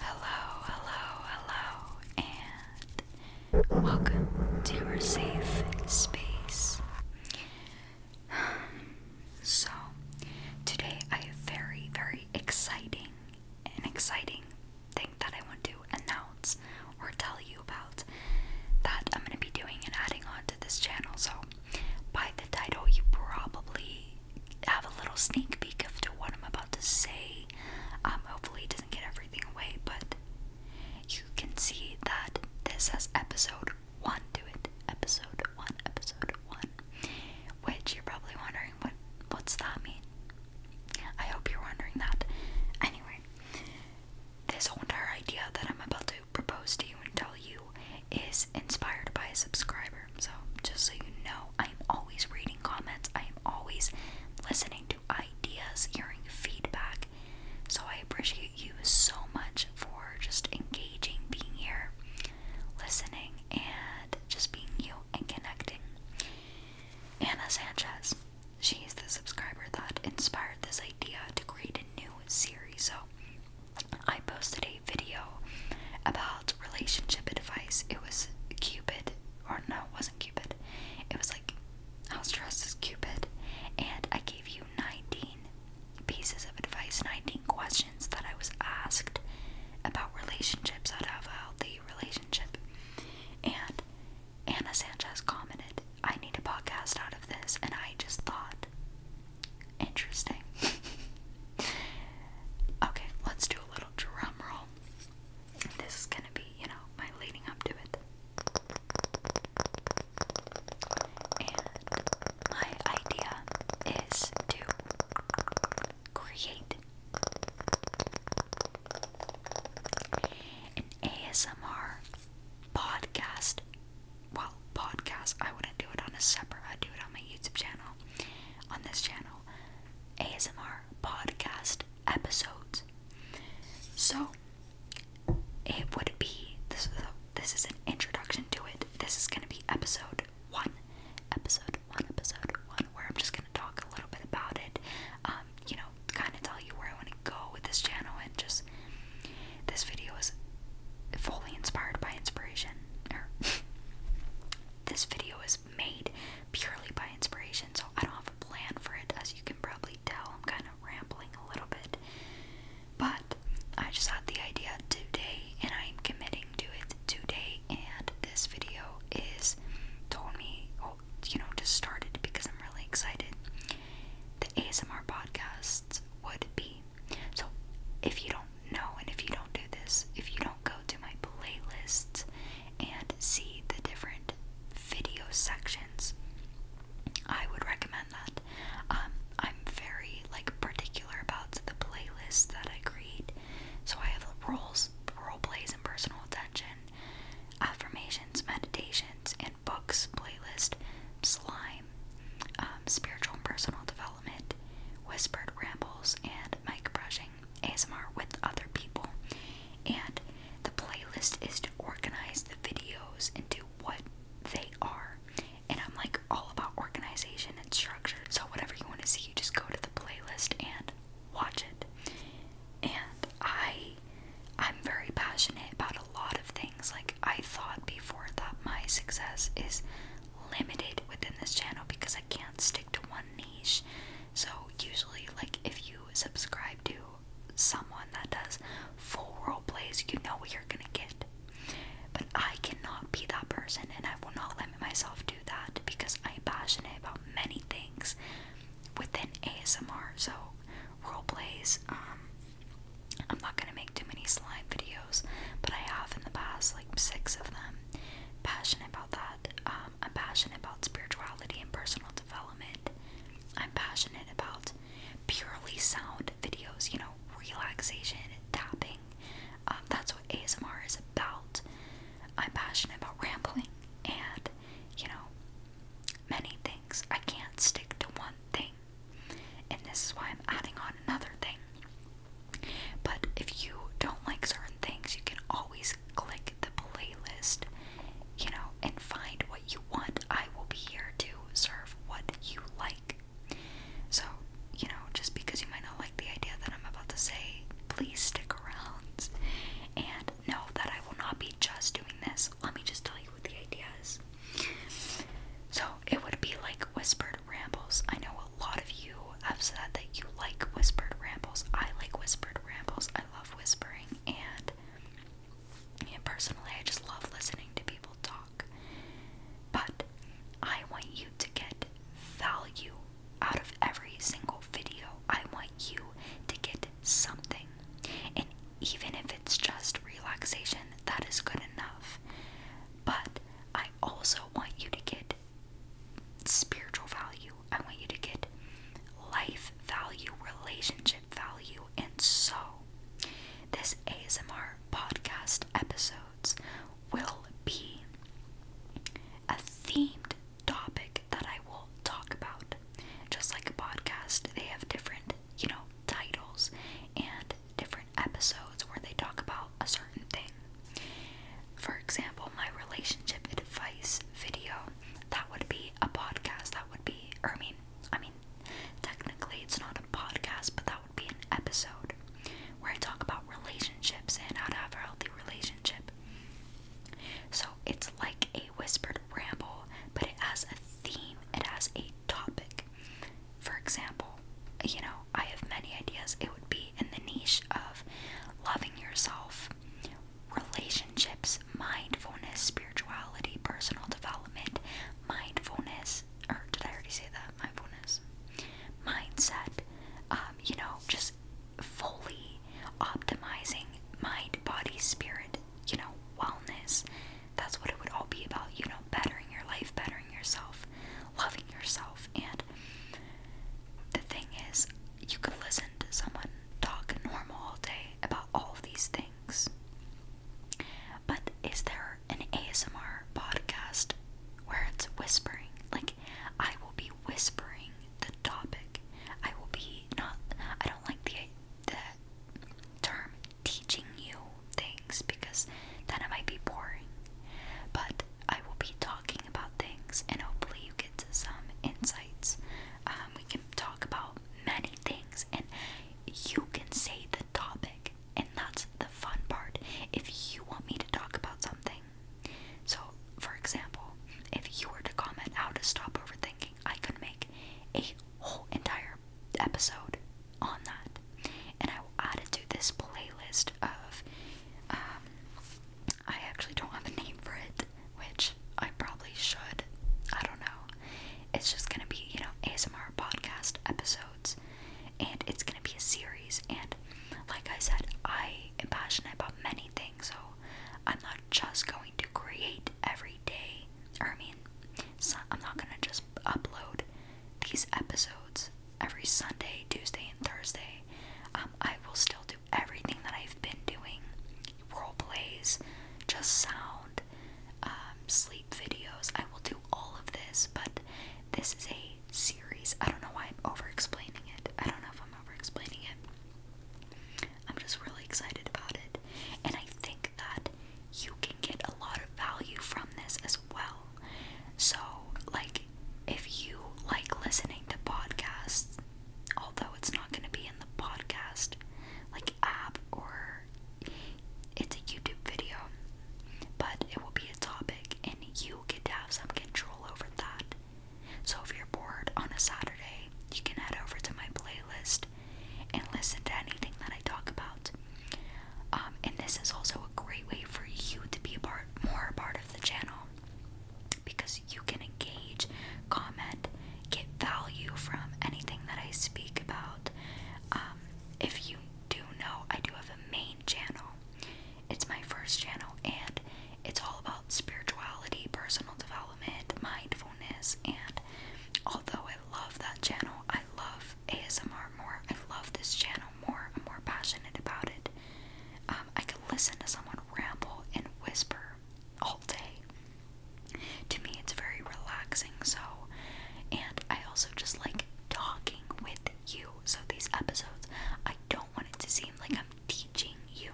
Hello, hello, hello, and welcome to your safe space. So, today I have very, very exciting and exciting thing that I want to announce or tell you about that I'm going to be doing and adding on to this channel. So, by the title, you probably have a little sneak peek of what I'm about to say. Um, hopefully, it doesn't get everything away, but you can see that this has episode one to it. Episode one, episode one. Which you're probably wondering what what's that mean? I hope you're wondering that. Anyway, this whole entire idea that I'm about to propose to you and tell you is inspired by a subscriber. So, just so you know, I'm always reading comments, I'm always listening to ideas, hearing feedback. So, I appreciate you so much for just engaging, being here, listening, and just being you and connecting. Anna Sanchez, she's the subscriber that inspired this idea to create a new series. So, I posted video about relationship advice. It was Cupid, or no, it wasn't Cupid. It was like I was dressed as Cupid, and I gave you 19 pieces of advice, 19 questions that I was asked about relationships, how to have a healthy relationship. And Anna Sanchez commented, I need a podcast out of this, and I just thought, interesting. okay, let's do little drum This is going to be, you know, my leading up to it. And my idea is to create an ASMR podcast. Well, podcast, I wouldn't do it on a separate, I'd do it on my YouTube channel, on this channel. ASMR podcast episodes. So it would be this is this is an introduction to it. This is going to be episode 1. Episode 1 episode 1 where I'm just going to talk a little bit about it. Um, you know, kind of tell you where I want to go with this channel and just this video is fully inspired by inspiration this video is made purely by inspiration, so I don't have a plan for it. As you can probably tell, I'm kind of rambling a little bit. But I just had the idea today, and I'm committing to it today. And this video is told me, oh, you know, just started because I'm really excited. The ASMR podcasts would be so, if you don't know and if you don't do this, if you don't go to my playlists and see the different video sections, I would recommend that. Um, I'm very like particular about the playlists that I create, so I have roles, role plays, and personal attention, affirmations, meditations, and books playlist, slime, um, spiritual and personal development Whispered Rambles, and mic brushing ASMR with other people. And the playlist is to organize the videos into what they are. And I'm like all about organization and structure. So, whatever you want to see, you just go to the playlist and watch it. And I. I'm very passionate about a lot of things. Like, I thought before that my success is limited within this channel because I can't stick to one niche. So, usually, like if you subscribe to someone that does full role plays, you know what you're gonna get. But I cannot be that person, and I will not let myself do that because I'm passionate about many things within ASMR. So, role plays, um, I'm not gonna make too many slime videos, but I have in the past, like six of them. Passionate about that. Um, I'm passionate about spirituality and personal development. I'm passionate about purely sound videos, you know, relaxation, tapping. Um, that's what ASMR is about. I'm passionate about rambling and, you know, many things. I can't stick to one thing. And this is why I'm adding on another thing. But if you don't like certain things, you can always click the playlist, you know, and find what you want. I will be here to serve what you like. So, you know, just because you might not like the idea that I'm about to say, please stick around and know that I will not be just doing this. Let me just tell you what the idea is. So, it would be like whispered rambles. I know a lot of you have said that you like whispered rambles. I like whispered rambles. I love whispering, and personally, I just love listening to people talk. But I want you to get value out of every single video. I want you to get something. And even if it's just relaxation, that is good enough. But I also want you to get spiritual value. I want you to get life value, relationship value, and so this ASMR podcast episodes will be a themed topic that I will talk about. Just like a podcast, they have different, you know, titles and different episodes where they talk about a certain thing. For example, my relationship advice video, that would be a podcast, that would be I mean I mean technically it's not a podcast, but that would be an episode where I talk about relationships and how to have a healthy relationship. So it's like a whispered ramble, but it has a theme, it has a topic for example, you know, I have many ideas. It would be in the niche of loving yourself, relationships, mindfulness, spirituality, personal development, mindfulness, or did I already say that? Mindfulness, mindset, um, you know, just fully optimizing mind, body, spirit, you know, wellness. That's what it would all be about, you know, bettering your life, bettering yourself, loving yourself. And the thing is, you could listen to someone talk normal all day about all of these things. But is there an ASMR podcast where it's whispering? Like, I will be whispering the topic. I will be not, I don't like the, the term teaching you things because then it might be boring. But I will be talking about things and hopefully you get some insights. Um, we can talk about many things and you can say the topic, and that's the fun part. If you want me to talk about something, so for example, if you were to comment how to stop overthinking, I could make a whole entire episode on that. And I added to this playlist of, um, I actually don't have a name for it, which I probably should. I don't know. It's just gonna be, you know, ASMR podcast episodes, and it's gonna be a series. And like I said, I am passionate about many things, so I'm not just going to create every day. Or I mean, so I'm not gonna just upload these episodes every Sunday, Tuesday, and Thursday. Um, I will still do everything that I've been doing role plays, just sound, um, sleep videos. I will do all of this, but this is a series. I don't know why I'm over explaining it. I don't know if I'm over explaining it. I'm just really excited about it. And I think that you can get a lot of value from this as well. So, like, if you like listening to podcasts, although it's not going to be in the podcast like app or it's a YouTube video, but it will be a topic and you get to have some control over that. So, if you're bored on a Saturday, you can head over to my playlist and listen to anything that I talk about. Um, and this is also a great way for you to be a part, more part of the channel because you can engage, comment, get value from anything that I speak about. Um, if you do know, I do have a main channel. It's my first channel, and it's all about spirituality, personal development, mindfulness, and although it. I love that channel. I love ASMR more. I love this channel more. I'm more passionate about it. Um, I can listen to someone ramble and whisper all day. To me, it's very relaxing, so. And I also just like talking with you. So, these episodes, I don't want it to seem like I'm teaching you.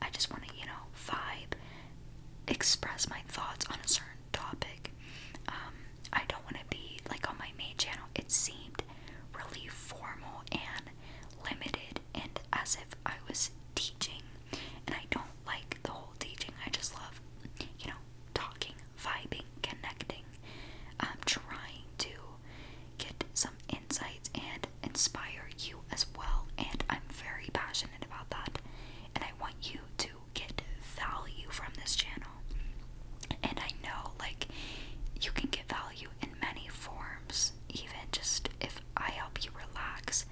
I just want to, you know, vibe, express my thoughts on a certain topic. Um, I don't want to be like on my main channel. It seemed really formal and limited, and as if I was teaching. And I don't like the whole teaching. I just love, you know, talking, vibing, connecting. I'm um, trying to get some insights and inspire you as well. And I'm very passionate about that. And I want you to get value from this channel. And I know, like, you can get value in many forms. Even just if I help you relax,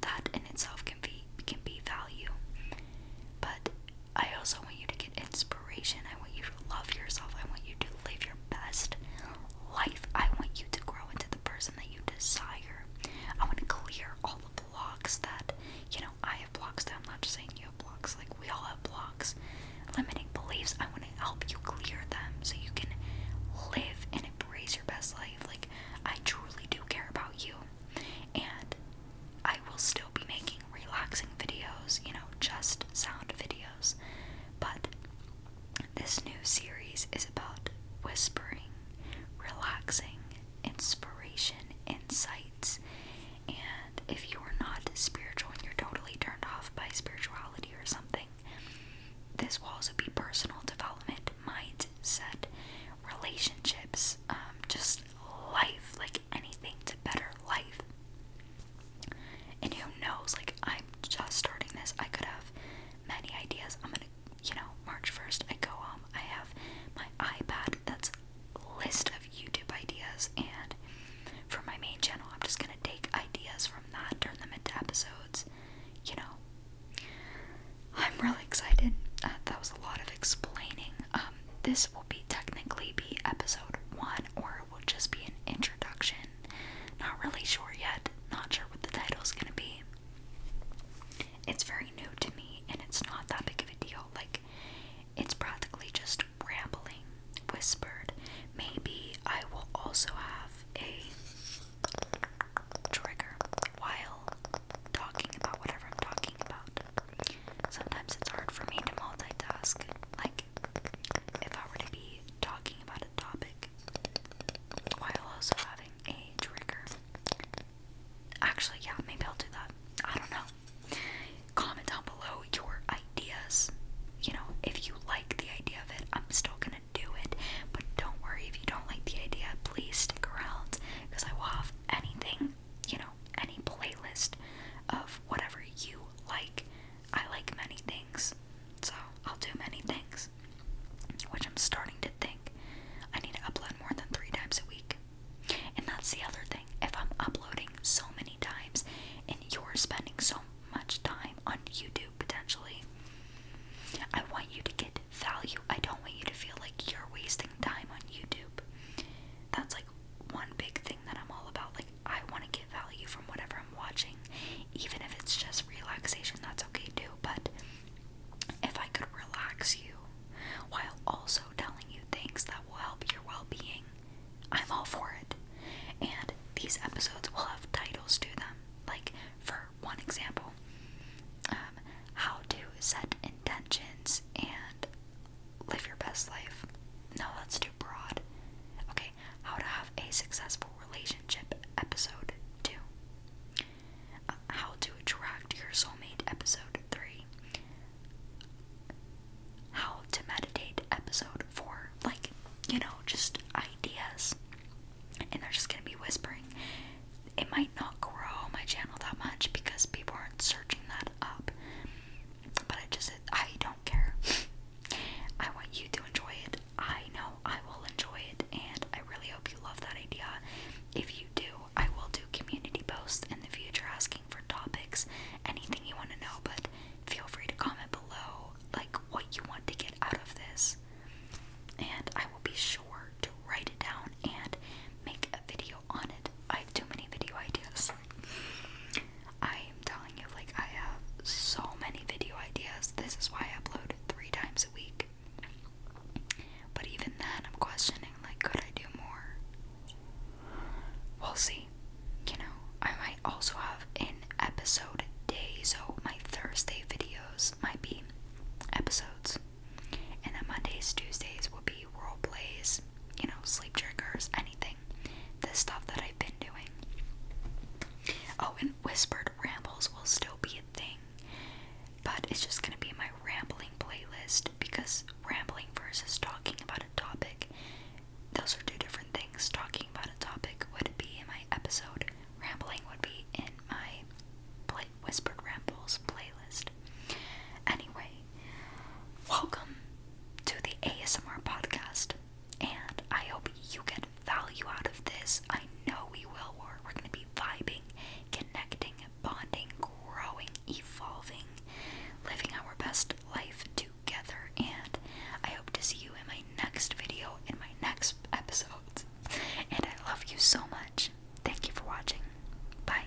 that in itself can be can be value. But I also want you to get inspiration. I want you to love yourself. I want you to live your best life. I want you to grow into the person that you desire. I want to clear all the blocks that you know I blocks I'm not just saying you have blocks. Like, we all have blocks. Limiting beliefs, I want to help you clear them so you can live and embrace your best life. Like, I truly do care about you. And I will still be making relaxing videos, you know, just sound videos. But this new series is about whispering, relaxing, inspiration, insights. And if you're not spiritual and you're totally turned off by spirituality or something, this will also be personal development, mindset, relationships, um, just life, like anything to better life. And who knows, like, I'm just starting this. I could have many ideas. I'm gonna, you know, March 1st, I go home. Um, I have my iPad that's list of YouTube ideas, and for my main channel, I'm just gonna take ideas from that, turn them into episodes. You know, I'm really excited. Uh, that was a lot of explaining. Um, this will be technically be episode one, or it will just be an introduction. Not really sure yet. Not sure what the title is gonna be. It's very new to me and it's not that big of a deal. Like, it's practically just rambling, whispered. Maybe I will also have a trigger while talking about whatever I'm talking about. Sometimes it's hard for me to multitask. Like, if I were to be talking about a topic while also having a trigger, Actually, yeah, maybe I'll do that. I don't know. Comment down below your ideas. You know, if you like the idea of it, I'm still gonna do it. But don't worry if you don't like the idea, please stick around because I will have anything, you know, any playlist of whatever you like. I like many things, so I'll do many things, which I'm starting to thing. I need to upload more than three times a week. And that's the other thing. If I'm uploading so many times and you're spending so much time on YouTube potentially, I want you to get value. I don't want you to feel like you're wasting time on YouTube. That's like one big thing that I'm all about. Like, I want to get value from whatever I'm watching, even if it's just relaxation, that's okay too. But if I could relax you while also telling you things that will help your well being, I'm all for it. And these episodes will have titles to them. Like, for one example, um, how to set intentions and live your best life. Now let's do broad. Okay, how to have a successful relationship episode 2. How to Attract Your Soulmate, Episode 3, How to Meditate, Episode 4. Like, you know, just ideas. And they're just gonna be whispering. It might not grow my channel that much because people aren't searching that up. But I just, I don't care. I want you to enjoy it. I know I will enjoy it, and I really hope you love that idea. If you do, I will do community posts in the future asking for topics, anything you want to know, but feel free to comment below like what you want to get out of this. And I will be sure to write it down and make a video on it. I have too many video ideas. I am telling you, like, I have so many video ideas. This is why I upload three times a week. But even then, I'm questioning like, could I do more? We'll see. You know, I might also have an episode day, so my Thursday videos might be episodes, and then Mondays, Tuesdays will be role plays, you know, sleep triggers, anything. The stuff that I've been doing. Oh, and whispered rambles will still be a thing but it's just gonna be my rambling playlist because rambling versus talking about a topic, those are two different things. Talking about a topic would be in my episode, rambling would be in my Whispered Rambles playlist. Anyway, welcome to the ASMR podcast, and I hope you get value out of this. I know we will. We're, we're going to be vibing, connecting, bonding, growing, evolving, living our best life together. And I hope to see you in my next video, in my next episode. And I love you so much. Thank you for watching. Bye.